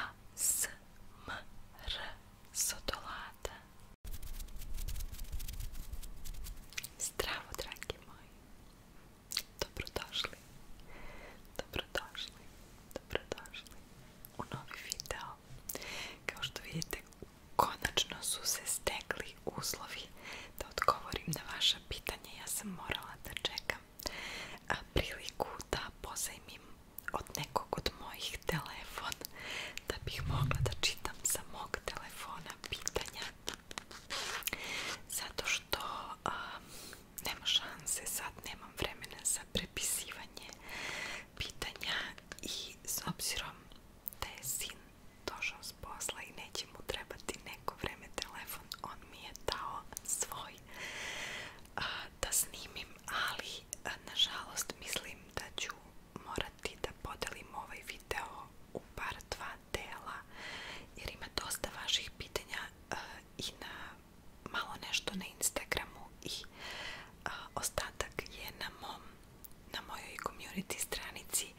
ASMR sotolada Zdravo dragi moji Dobrodošli Dobrodošli Dobrodošli u novi video Kao što vidite konačno su se stekli uslovi da odgovorim na vaše pitanje. Ja sam morala da čekam priliku da pozajmim od nekog od mojih telefon da bih mogla da čitam sa mog telefona pitanja zato što a, nema šanse sad nemam vremena za prepisivanje pitanja i s obzirom da je sin došao s posla i neće mu trebati neko vreme telefon, on mi je dao svoj a, da snimim, ali a, nažalost mislim da ću morati da podelim ovaj video u par dva dela jer ima dosta vaših pitanja a, i na malo nešto na Instagramu i a, ostatak je na mom na mojoj community stranici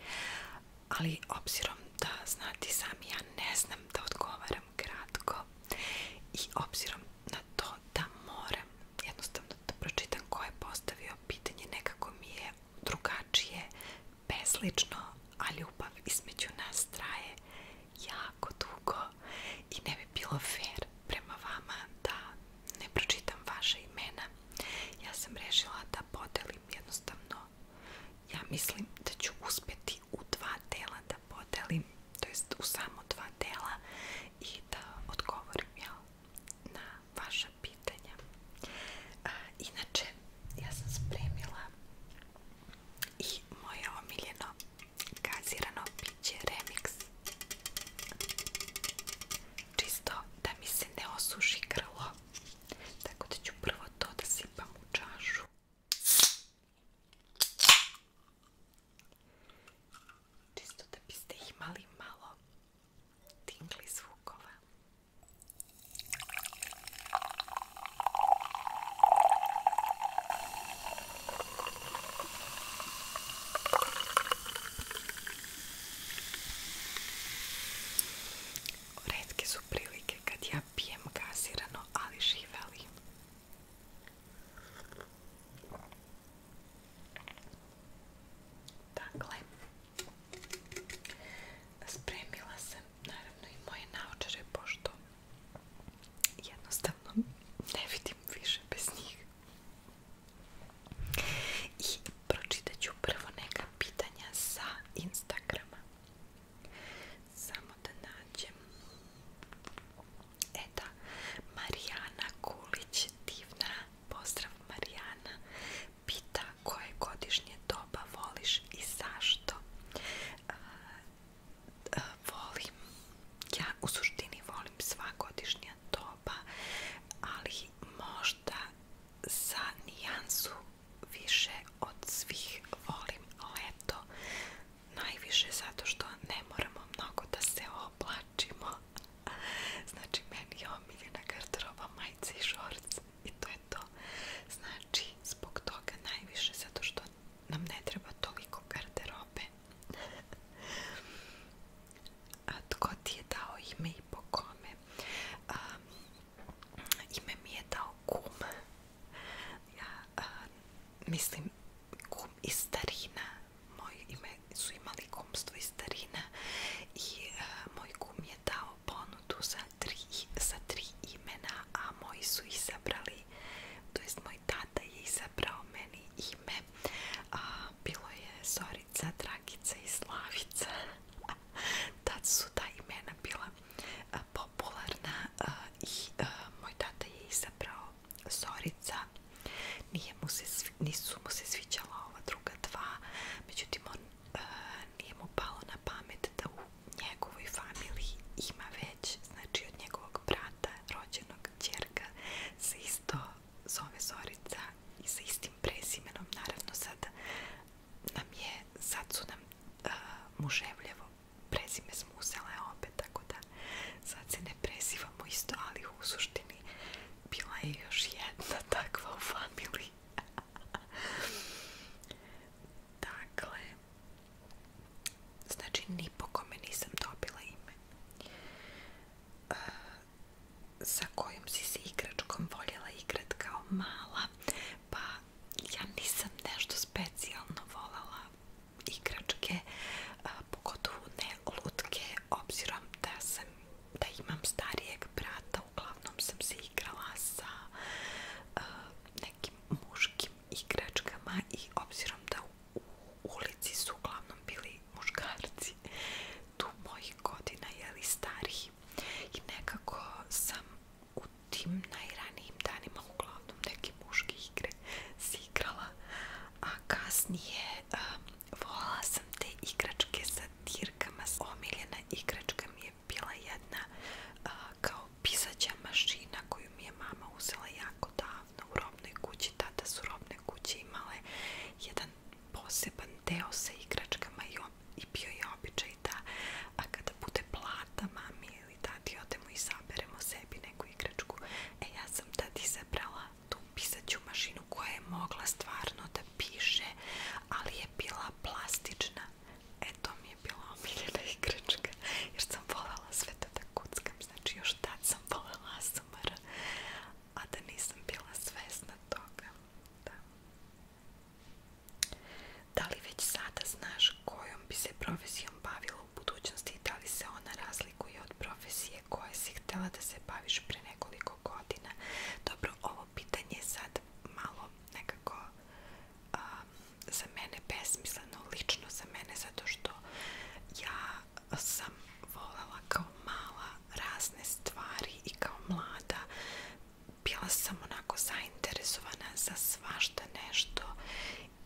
ali obzirom da znati sami ja ne znam da odgovaram kratko i obzirom na to da moram jednostavno da pročitam ko je postavio pitanje nekako mi je drugačije beslično, a ljubav između nas traje jako dugo i ne bi bilo fair prema vama da ne pročitam vaše imena ja sam rešila da podelim jednostavno ja mislim da ću uspjeti u dva dela da podelim, to jest u samo dva dela i da odgovorim ja na vaša pitanja. A, inače, ja sam spremila i moje omiljeno gazirano piće Remix. Čisto da mi se ne osuši grlo Tako da ću prvo to da sipam u čašu. Čisto da biste imali malo tingli zvukova. Redke su prilike kad ja pijem gasirano, ali živeli. Dakle, spremila sam naravno i moje naočare, pošto jednostavno ne vidim više bez njih. I pročitat ću prvo neka pitanja sa Instagrama. Samo da nađem. Eta, da, Marijana Kulić, divna. Pozdrav Marijana. Pita koje godišnje doba voliš i zašto? E, e, volim, ja u suštini volim sva godišnja doba, ali možda za nijansu više od svih volim leto najviše zato što ne moramo mnogo da se oblačimo znači meni je omiljena garderoba majice i šorc i to je to znači zbog toga najviše zato što nam ne treba toliko garderobe A tko ti je dao ime i po kome? A, ime mi je dao kum. Ja a, mislim kum i starina. Moje ime su imali kumstvo i starina. I a, moj kum je dao ponudu za tri, za tri imena, a moji su izabrali, to jest moj Dragica i Slavica. Tad su ta imena bila popularna i moj tata je izabrao Zorica. Nije mu se, nisu mu se sviđala ova druga dva, međutim on nije mu palo na pamet da u njegovoj familiji ima već, znači od njegovog brata, zove Zorica i sa istim našim prezimenom, naravno sad nam je, sad su nam uh, muževljevo prezime smo uzele opet, tako da sad se ne prezivamo isto, ali u suštini bila je još jedna takva u familiji. dakle, znači ni po kome nisam dobila ime. Uh, sa kojom si se igračkom voljela igrat kao mala pa ja nisam nešto specijalno voljela igračke pogotovo ne lutke obzirom da sam da imam starijeg brata uglavnom sam se igrala sa nekim muškim igračkama i obzirom da u ulici su uglavnom bili muškarci tu mojih godina, jeli stariji i nekako sam u tim najranijim danima uglavnom neke muške igre si igrala, a kasnije um, volala sam te igračke sa dirkama, omiljena igračka mi je bila jedna uh, kao pisaća mašina koju mi je mama uzela jako davno u robnoj kući, tada su robne kuće imale jedan poseban deo sa igračkama i, on, i bio je običaj da a kada bude plata mami ili tati odemo i zaberemo sebi neku igračku. E ja sam tad izabrala tu pisaću mašinu koja je mogla stvarno da piše, ali je bila plastična. E to mi je bila omiljena igračka jer sam voljela sve to da kuckam. Znači još tad sam voljela ASMR, a da nisam bila svesna toga. Da. da već sada znaš kojom bi se profesijom bavila u budućnosti i da li se ona razlikuje od profesije koje si da se baviš pre nekoliko godina? Dobro, ovo pitanje je sad malo nekako za mene besmisleno, lično za mene, zato što ja voljela kao mala razne stvari i kao mlada bila sam onako zainteresovana za svašta nešto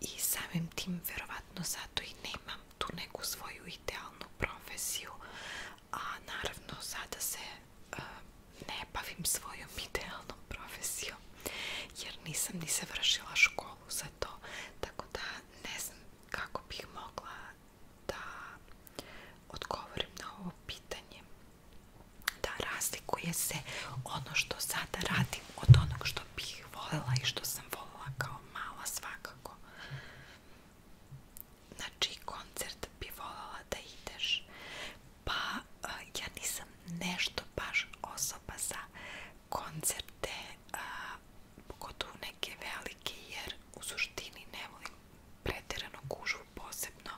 i samim tim verovatno zato i nemam tu neku svoju idealnu profesiju a naravno sada se uh, ne bavim svojom idealnom profesijom jer nisam ni završila školu za to tako da ne znam kako bih mogla da odgovorim na ovo pitanje da razlikuje se ono što sada radim od onog što bih voljela i što sam voljela kao mala svakako znači koncert bi voljela da ideš pa ja nisam nešto baš osoba za koncerte pogotovo neke velike jer u suštini ne volim pretjerano gužvu posebno,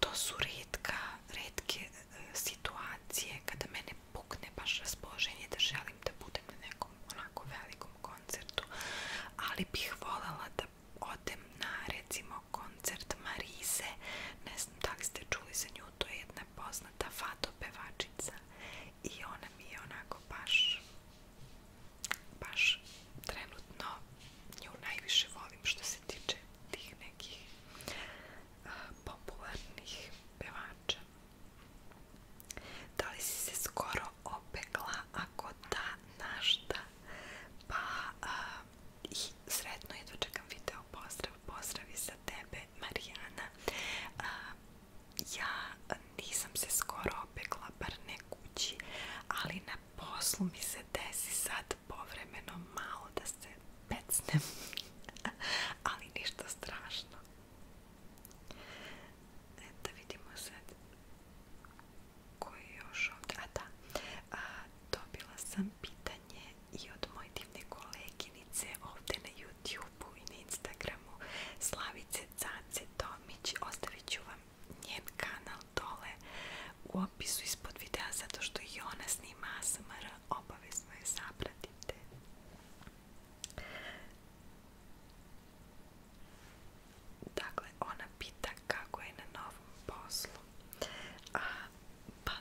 to su redka, redke e, situacije kada mene pukne baš raspoloženje da želim da budem na nekom onako velikom koncertu, ali bih voljela da odem na recimo koncert Marise, ne znam da li ste čuli za nju, to je jedna poznata fato pevačica i ona mi je onako baš baš trenutno nju najviše volim što se tiče tih nekih uh, popularnih pevača. Da li si se skoro opekla? Ako da, na šta? Da? Pa uh, i sretno jedva čekam video pozdrav. Pozdravi za tebe Marijana. Uh, ja e, nisam skoro opekla, bar kući, ali na poslu mi se desi sad povremeno malo da se pecnem, ali ništa strašno. Eto vidimo sad koji je još ovdje, a da, dobila sam pitanje i od moje divne koleginice ovdje na YouTube i na Instagramu Slavice Can Nance Tomić, ostavit ću vam njen kanal dole u opisu ispod videa zato što i ona snima ASMR, obavezno je zapratite. Dakle, ona pita kako je na novom poslu. A, pa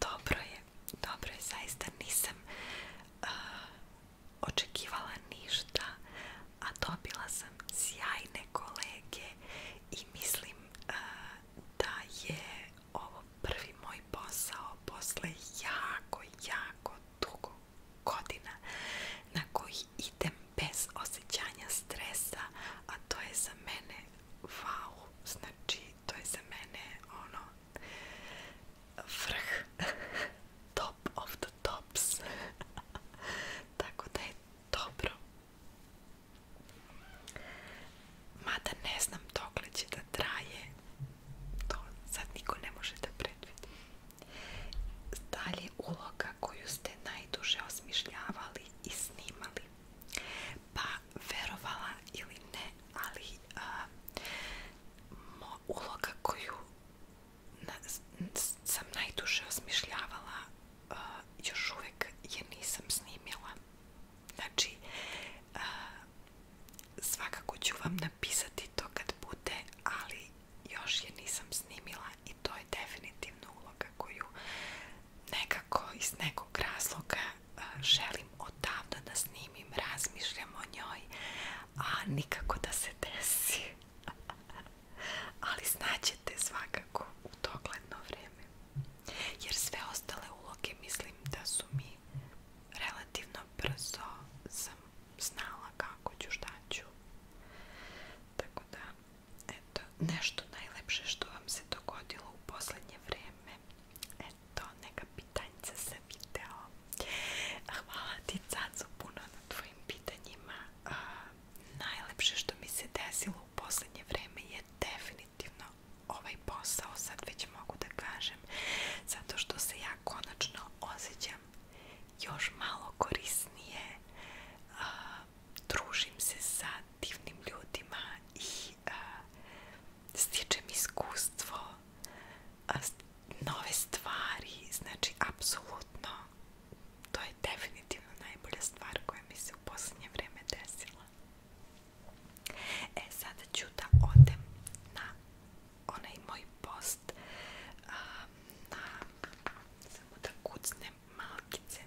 dobro je, dobro je, zaista nisam... A, očekivala ništa, a dobila sam sjajne kolege i mislim uh, da je ovo prvi moj posao posle jako, jako dugo godina na koji idem bez osjećanja stresa, a to je za mene wow, znači to je za mene ono vrh top of the tops tako da je dobro mada ne znam dokle će da traje to sad niko ne može da predvidi dalje uloga koju ste najduže osmišljavali i snimali pa verovala ili ne ali a, mo, uloga koju na, sam najduže osmišljavala uh, još uvijek jer nisam snimila. Znači, uh, svakako ću vam napisati to kad bude, ali još je nisam snimila i to je definitivno uloga koju nekako iz nekog razloga uh, želim odavno da snimim, razmišljam o njoj, a nikako da se desi ali znaćete svakako u dogledno vrijeme jer sve ostale uloge mislim da su mi relativno brzo sam znala kako ću šta ću tako da eto nešto najlepše što vam se dogodilo u posljednje vrijeme eto neka pitanjca sam video Hvala ti Caco puno na tvojim pitanjima. Uh, najlepše što mi se desilo u posljednje vreme je definitivno ovaj posao, sad već mogu da kažem, zato što se ja konačno osjećam još malo korisnije, uh, družim se sa divnim ljudima i uh, stičem iskustvo, nove stvari, znači apsolutno to je definitivno najbolja stvar koja mi se u posljednje vrijeme desila. E, sada ću da odem na onaj moj post um, na, samo da kucnem malkice.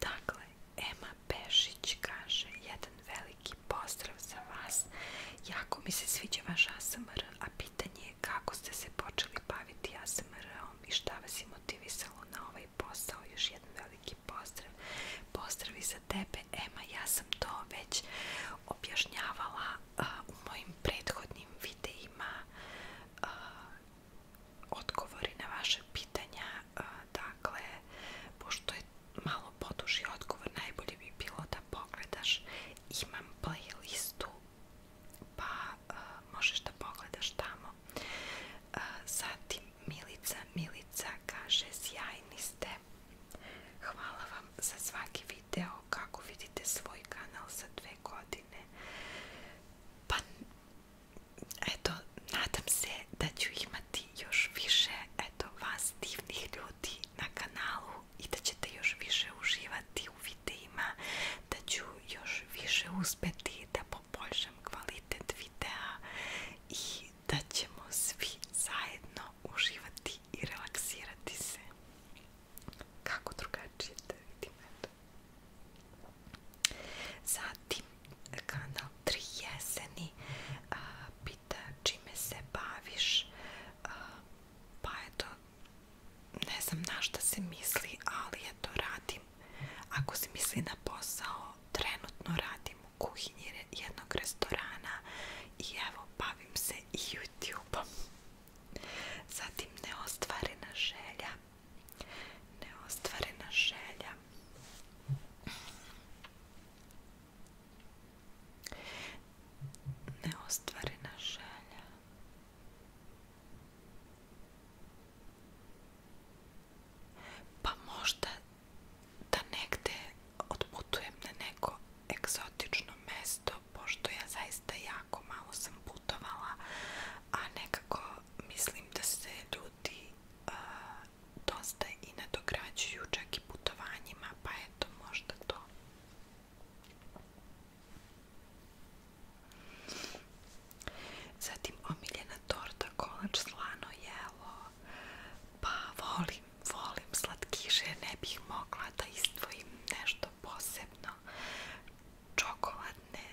Dakle, Ema Pešić kaže jedan veliki pozdrav za vas. Jako mi se sviđa vaš ASMR, a pitanje je kako ste se počeli baviti ASMR-om i šta vas je motivisalo na ovaj posao. Još jedan veliki pozdrav. Pozdravi za tebe, Ema. Ja sam to već objašnjavala uh, u mojim prethodnim videima. Uh, odgovori na vaše pitanja, dakle, pošto je malo poduži odgovor, najbolje bi bilo da pogledaš, imam playlistu, pa uh, možeš da pogledaš tamo. Uh, zatim Milica, Milica kaže, sjajni ste, hvala vam za svaki video, kako vidite svoj kanal za dve godine pa eto, nadam se da ću imati još više eto, vas divnih ljudi na kanalu i da ćete još više uživati u videima, da ću još više uspeti da poboljšam kvalitet videa i da ćemo svi zajedno uživati i relaksirati se. Kako drugačije da vidim, eto. Zatim, kanal 3 jeseni a, pita čime se baviš, a, pa eto, ne znam na šta se misli, ali eto, radim. Ako se misli na posao, trenutno radim u kuhinji jednog restorana i evo, bavim se i YouTube-om. Zatim neostvarena želja. Neostvarena želja. Neostvarena želja. Pa možda da negde odputujem na neko egzotično mesto mesto, pošto ja zaista jako malo sam putovala, a nekako mislim da se ljudi uh, i nadograđuju čak i putovanjima, pa eto možda to. Zatim omiljena torta, kolač, slano jelo, pa volim, volim slatkiše, ne bih mogla da izdvojim nešto posebno čokoladne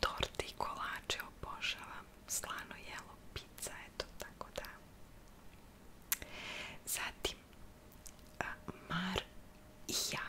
torte i kolače obožavam slano jelo, pizza, eto tako da zatim Mar i ja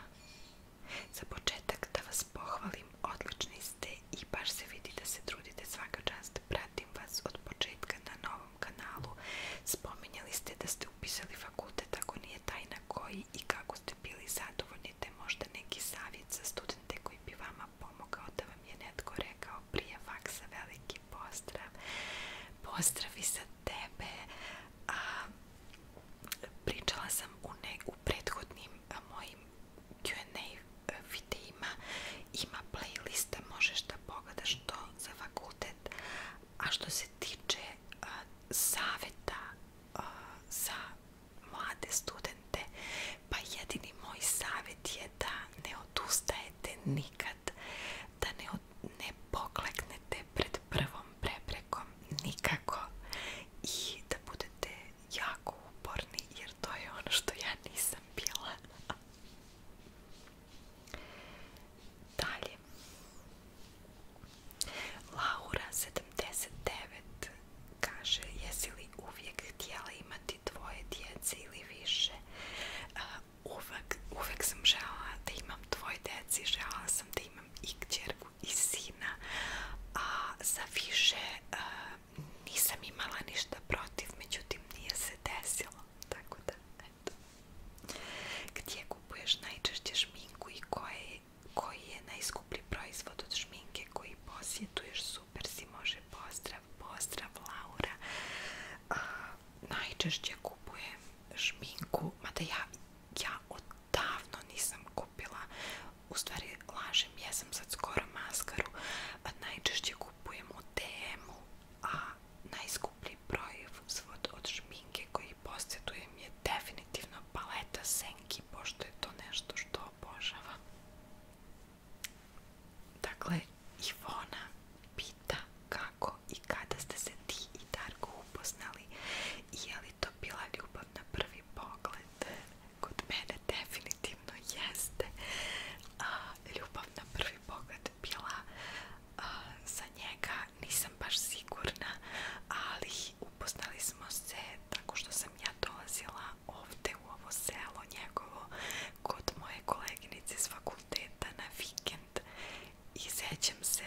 za početak da vas pohvalim odlični ste i baš se vidi da se trudite svaka čast pratim vas od početka na novom kanalu spominjali ste da ste upisali fakultet ako nije tajna koji bili i kako ste bili zadovoljni, te možda neki savjet za studente koji bi vama pomogao da vam je netko rekao prije faksa veliki pozdrav, pozdravi za tebe, a pričala sam u, ne, u prethodnim mojim Q&A e, videima, ima playlista, možeš da pogledaš to za fakultet, A što se tiče uh, saveta uh, za mlade studente, pa jedini moj savjet je da ne odustajete nikad, da ne, ne pokleknete pred prvom preprekom nikako i da budete jako uporni jer to je ono što ja nisam bila. Dalje. Laura 79 kaže jesi li uvijek htjela imati dvoje djece ili više uvek, uvek sam žela da imam dvoje djeci žela sam da imam i kćerku i sina a za više nisam imala ništa protiv međutim nije se desilo tako da internetu. Gdje kupuješ najčešće šminku i koje, koji je najskuplji proizvod od šminke koji posjetuješ? Super si može, pozdrav, pozdrav Laura. A, najčešće kupujem šminku, mada ja, ja odavno nisam kupila, u stvari lažem, ja sam sad skoro maskaru, a najčešće kupujem u DM-u, a najskuplji najskuplji proizvod od šminke koji posjedujem je definitivno paleta Senki, pošto je to nešto što obožavam. Dakle, Ivona pita kako i kada ste se ti i Darko upoznali i je li to bila ljubav na prvi pogled? Kod mene definitivno jeste ljubav na prvi pogled bila za njega nisam baš sigurna, ali upoznali se tako što sam ja dolazila ovdje u ovo selo njegovo kod moje koleginice iz fakulteta na vikend i sećam se,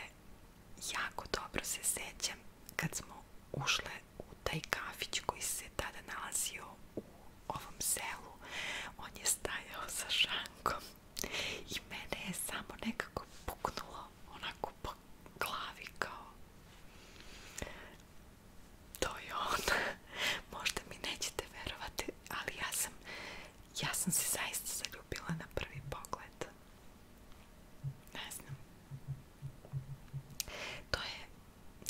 jako dobro se sećam kad smo ušle u taj kafić koji se tada nalazio u ovom selu on je stajao sa I mene je samo nekako puknulo onako po glavi kao to je on. Možda mi nećete verovati, ali ja sam ja sam se zaista zaljubila na prvi pogled. Ne znam. To je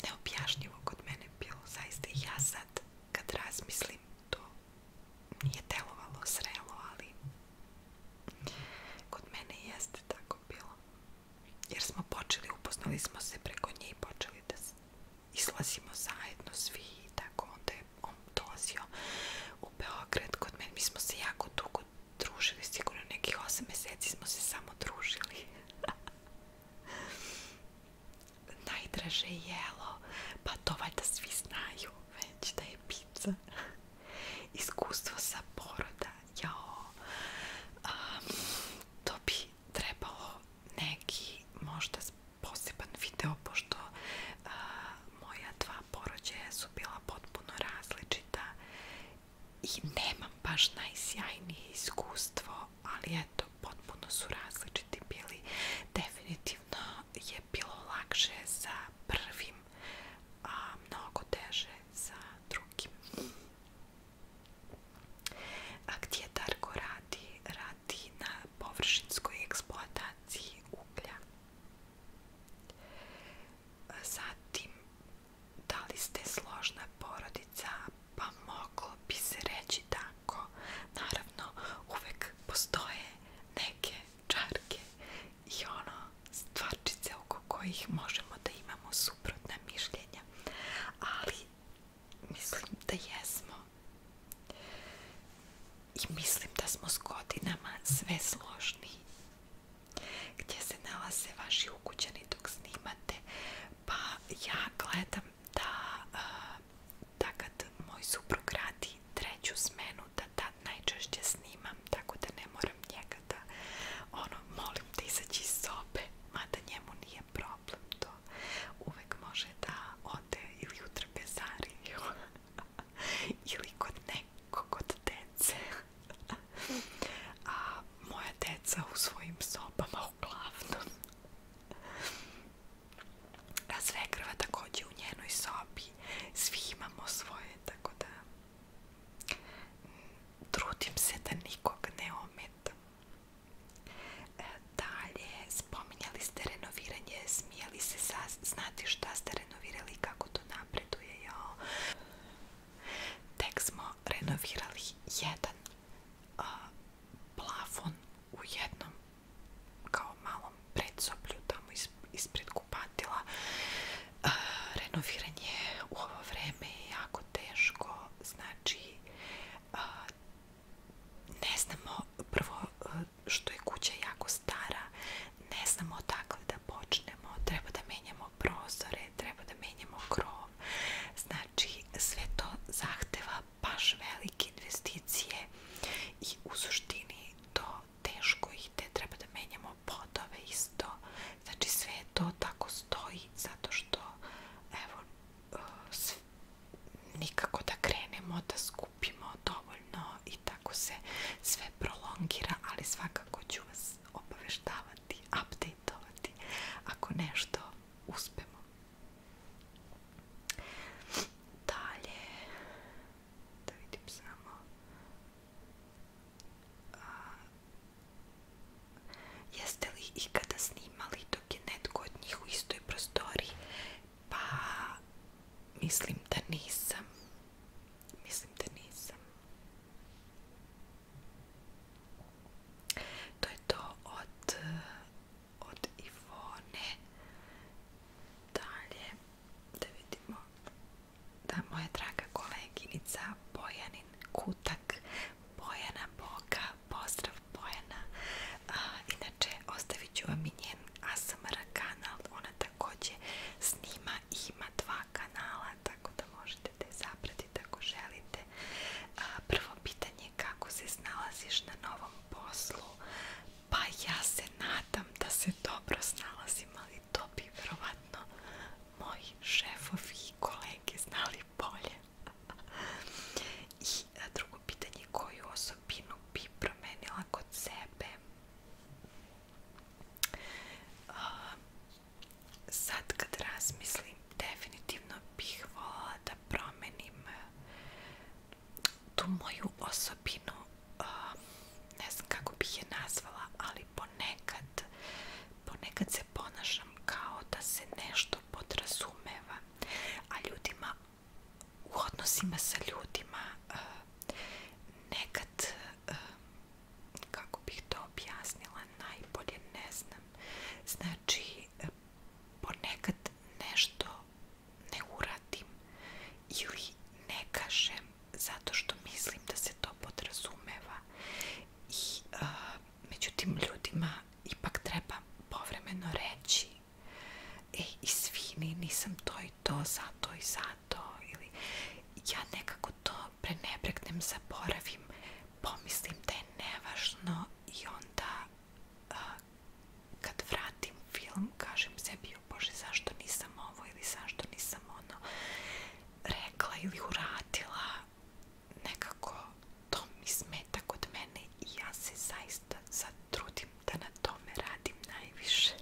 neobjašnjivo kod mene bilo zaista. Ja sad kad razmislim to nije delovalo srelo, ali kod mene jeste tako bilo. Jer smo počeli, upoznali smo se preko nje počeli da izlazimo zajedno svi tako. Onda je on u Beograd kod mene. Mi smo se jako dugo družili, sigurno nekih 8 meseci smo se samo družili. Najdraže jelo, pa to valjda svi znaju piću, već da je pizza. Iskustvo sa poroda, jao, um, to bi trebalo neki možda poseban video, pošto uh, moja dva porođaja su bila potpuno različita i nemam baš najsjajnije iskustvo, ali eto, potpuno su različiti bili. Definitivno definitivno je bilo lakše sa prvim, a mnogo teže sa drugim. A gdje Darko radi? Radi na površinskoj eksploataciji uglja. Zatim, da li ste složna porodica? Pa moglo bi se reći tako. Naravno, uvek postoje neke čarke i ono stvarčice oko kojih možemo da imamo suprotna mišljenja. Ali mislim da jesmo. I mislim da smo s godinama sve složniji. Gdje se nalaze vaši ukućani dok snimate? Pa ja gledam da... Uh, da kad moj suprug radi treću smenu da tad da najčešće snimam tako da ne moram njega da ono molim da izaći iz sobe mada njemu nije problem to uvek može da ode ili u trapezariju ili kod nekog od dece a moja deca u svojim sobama uglavnom svekrva takođe u njenoj sobi. Svi imamo svoje, tako da trudim se da nikog ne ometam. E, dalje, spominjali ste renoviranje, smijali se sa, znati šta ste renovirali, kako to napreduje, jao. Tek smo renovirali jedan a, plafon u jednom kao malom predsoblju tamo ispred kupatila e, renoviranje u ovo vreme je jako teško znači e, ne znamo prvo e, što je kuća jako stara ne znamo odakle da počnemo treba da menjamo prozore treba da menjamo krov znači sve to zahteva baš velike investicije i u suštini to teško ide, treba da menjamo podove isto, znači sve to tako stoji zato što evo eh, nikako da krenemo, da skupimo dovoljno i tako se sve prolongira, ali svakako ću vas obaveštavati, updateovati ako nešto uspemo. Dalje, da vidim samo. A, jeste li ikada snimali dok je netko od njih u istoj prostoriji? Pa, mislim da nisam. Mislim da nisam. To je to od od Ivone. Dalje, da vidimo da moja draga koleginica Bojanin Kutak, Bojana Boga, pozdrav Bojana. A, inače, ostavit ću vam i njen ASMR kanal, ona također snima i ima dva kanala, tako da možete da je zapratiti ako želite. A, prvo pitanje je kako se snalaziš na novom poslu, Pa ja se nadam da se dobro snalazim, ali to bi verovatno moji šefovi i kolege znali bolje. I e, drugo pitanje, koju osobinu bi promenila kod sebe? Sad kad razmislim, definitivno bih voljela da promenim tu moju osobinu uh, ne znam kako bih je nazvala ali ponekad ponekad se ponašam kao da se nešto podrazumeva a ljudima u odnosima sa ljudima uh, kako bih to objasnila najbolje ne znam znači ponekad nešto ne uradim ili ne kažem zato što mislim da se to podrazumeva i uh, međutim ljudima ipak treba povremeno reći e, izvini, nisam to i to, zato i zato ili ja nekako to prenebregnem, zaboravim pomislim da je nevažno i onda kad vratim film kažem sebi bože zašto nisam ovo ili zašto nisam ono rekla ili uradila nekako to mi smeta kod mene i ja se zaista sad trudim da na tome radim najviše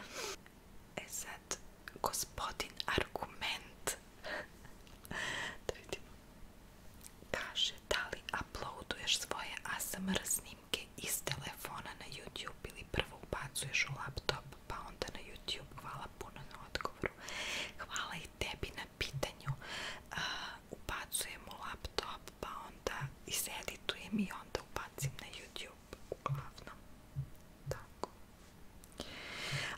e sad gospodin argument da vidimo Kaže da uploaduješ svoje ASMR snimke iz telefona na YouTube ili prvo ubacuješ u laptop pa onda na YouTube. Hvala puno na odgovoru. Hvala i tebi na pitanju. Uh, ubacujem u laptop pa onda iseditujem i onda ubacim na YouTube uglavnom. Tako.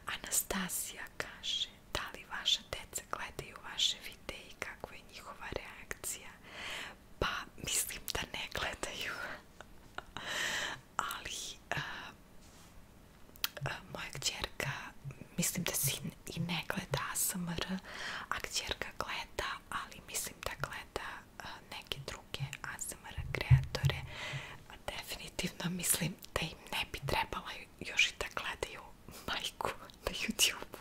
Anastasija kaže da li vaša deca gledaju vaše videe i kakvo je njihova reakcija? Pa mislim da ne gledaju. Ali eh, eh, moja kćerka mislim da si i ne gleda ASMR, a kćerka gleda, ali mislim da gleda eh, neke druge ASMR kreatore. Definitivno mislim da im ne bi trebala još i da gledaju majku na YouTube.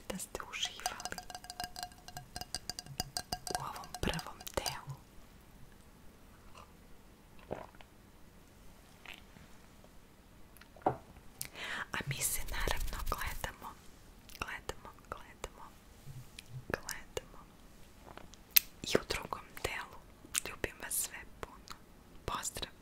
se da ste uživali u ovom prvom delu. A mi se naravno gledamo, gledamo, gledamo, gledamo i u drugom delu. Ljubim vas sve puno. Pozdrav!